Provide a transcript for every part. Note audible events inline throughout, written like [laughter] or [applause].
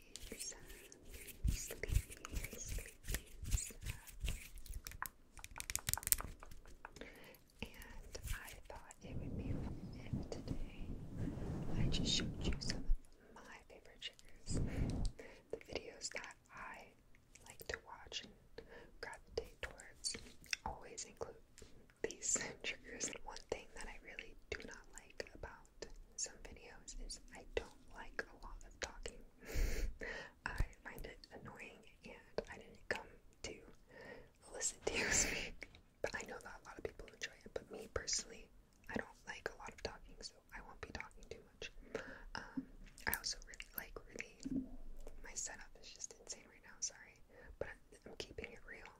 And I thought it would be fun today I just showed you some of my favorite triggers, the videos that I like to watch and gravitate towards always include these triggers. One thing that I really do not like about some videos is I don't like a lot of talking. [laughs] I find it annoying and I didn't come to listen to you [laughs] speak. But I know that a lot of people enjoy it, but me personally, I don't like a lot of talking, so I won't be talking too much. Um, I also really like really my setup is just insane right now, sorry. But I'm keeping it real.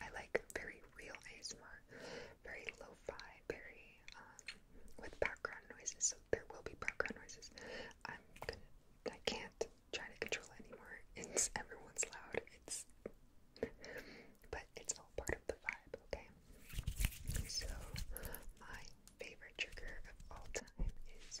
I like very real ASMR, very lo very um, with background noises. So there will be background noises. I'm gonna, I can't try to control it anymore. It's everyone's loud. It's, but it's all part of the vibe. Okay. So my favorite trigger of all time is.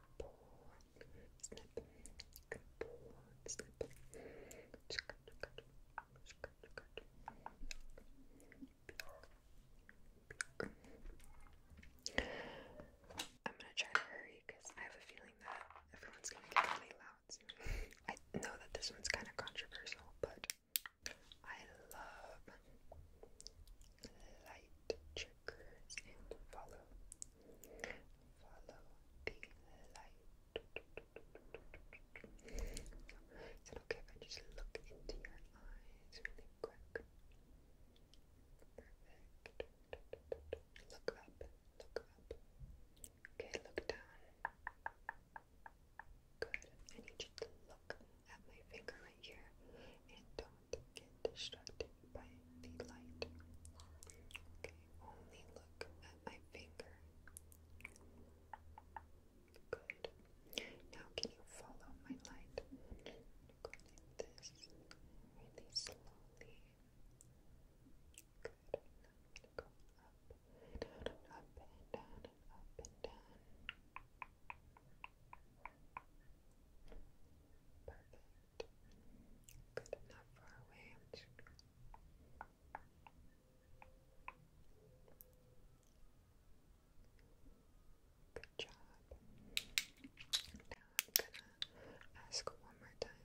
I'm gonna try to hurry because I have a feeling that everyone's gonna get really loud I know that this one's kind of controversial, but I love light triggers and follow Follow the light. okay if I just look into your eyes really quick? Perfect. Look up. Look up. Okay, look down. Good. I need you to look at my finger right here and don't get distracted by the light. Okay, only look at my finger. Good. Now, can you follow my light? Go like this, really slowly. Good. Now go up down up and down up and down. Perfect. Good, not far away. Good job. Now I'm gonna ask one more time.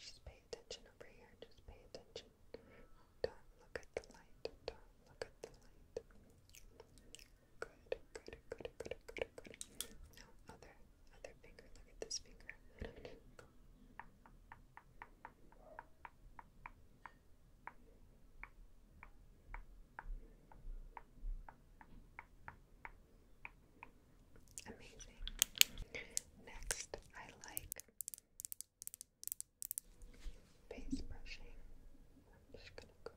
Just pay attention over here. Just pay attention. Don't look at the light. Don't look at the light. Good, good, good, good, good, good. Now, other other finger. Look at this finger. Amazing. Next, I like face brushing. I'm just gonna go.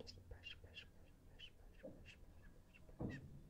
Just brush, brush, brush, brush, brush, brush, brush, brush, brush,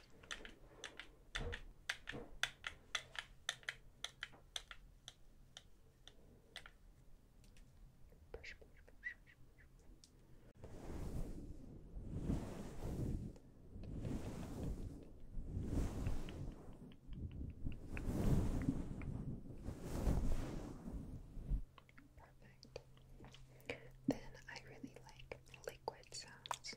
Push, push, Perfect. Then I really like liquid sounds.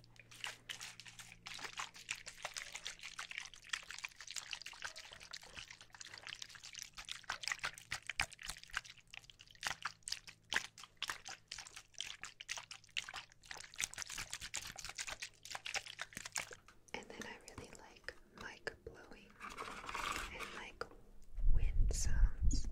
And then I really like mic blowing and like wind sounds.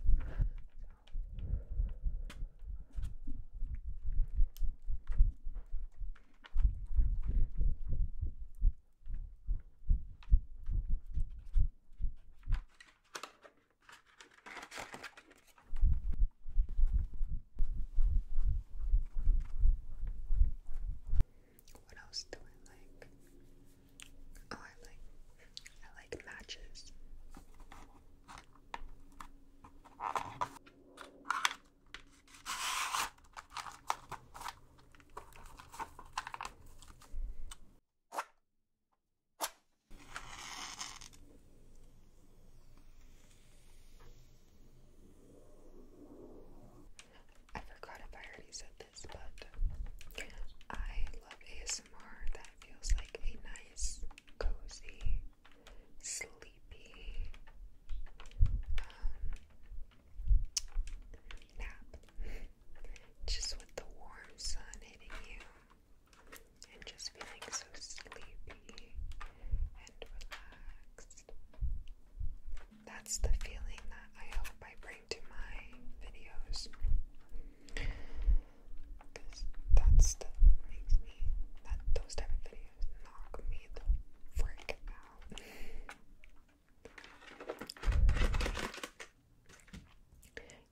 What else do I like? Oh, I like I like matches. I forgot if I already said this, but I love ASMR that feels like a nice, cozy sleepy um, nap. just with the warm sun hitting you and just feeling so sleepy and relaxed. That's the feeling that I hope I bring to my videos. Because that stuff makes me, that, those type of videos knock me the frick out.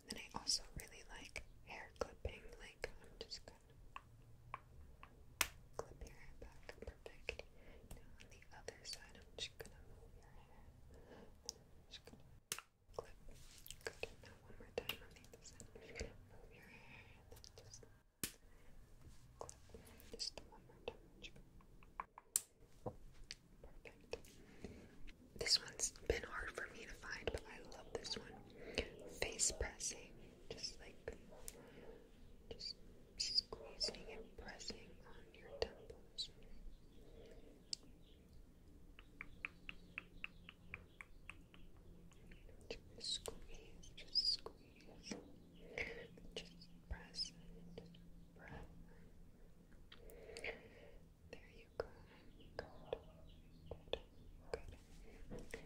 then I also really like hair clipping, like I'm just gonna clip your perfect. Now on the other side, I'm just gonna move your hair. just gonna clip. Good. Now one more time on the other side, move your hair. This one's been hard for me to find, but I love this one. Face pressing, just like just squeezing and pressing on your temples. Just squeeze, just squeeze. Just press There you go. Good. Good. Good.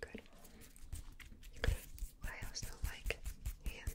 Press, press, press. Good. I also like hand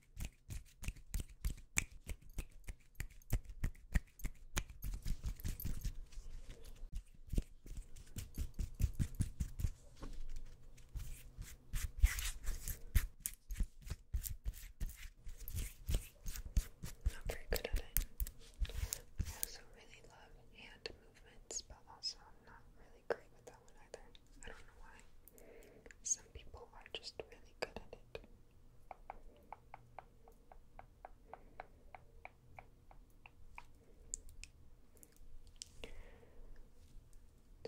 Not very good at it. I also really love hand movements, but also I'm not really great with that one either. I don't know why. Some people are just really good at it. Just relax,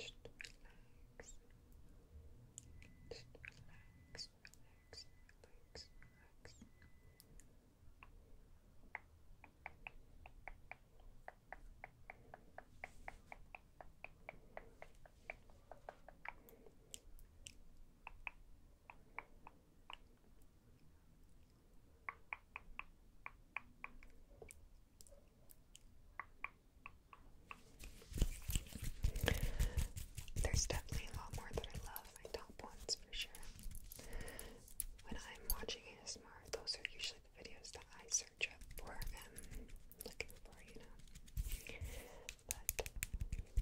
just relax, just relax, just relax, relax, relax, relax. There's definitely a lot more that I love, my top ones for sure. When I'm watching ASMR, those are usually videos that I search up for and um, looking for, you know. But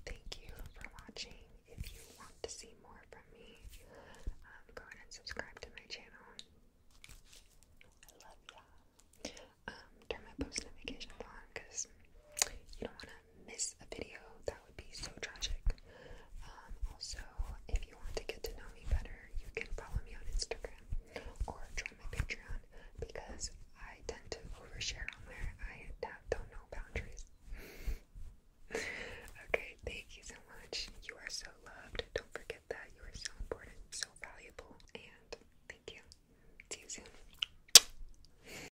thank you for watching. If you want to see more from me, um, go ahead and subscribe to my channel. I love y'all. Um, turn my post notifications on because you don't want to miss a video. That would be so tragic. also, if want to get to know me better, you can follow me on Instagram or join my Patreon because I tend to overshare on there. I don't know boundaries. [laughs] okay, thank you so much. You are so loved. Don't forget that you are so important, so valuable, and thank you. See you soon.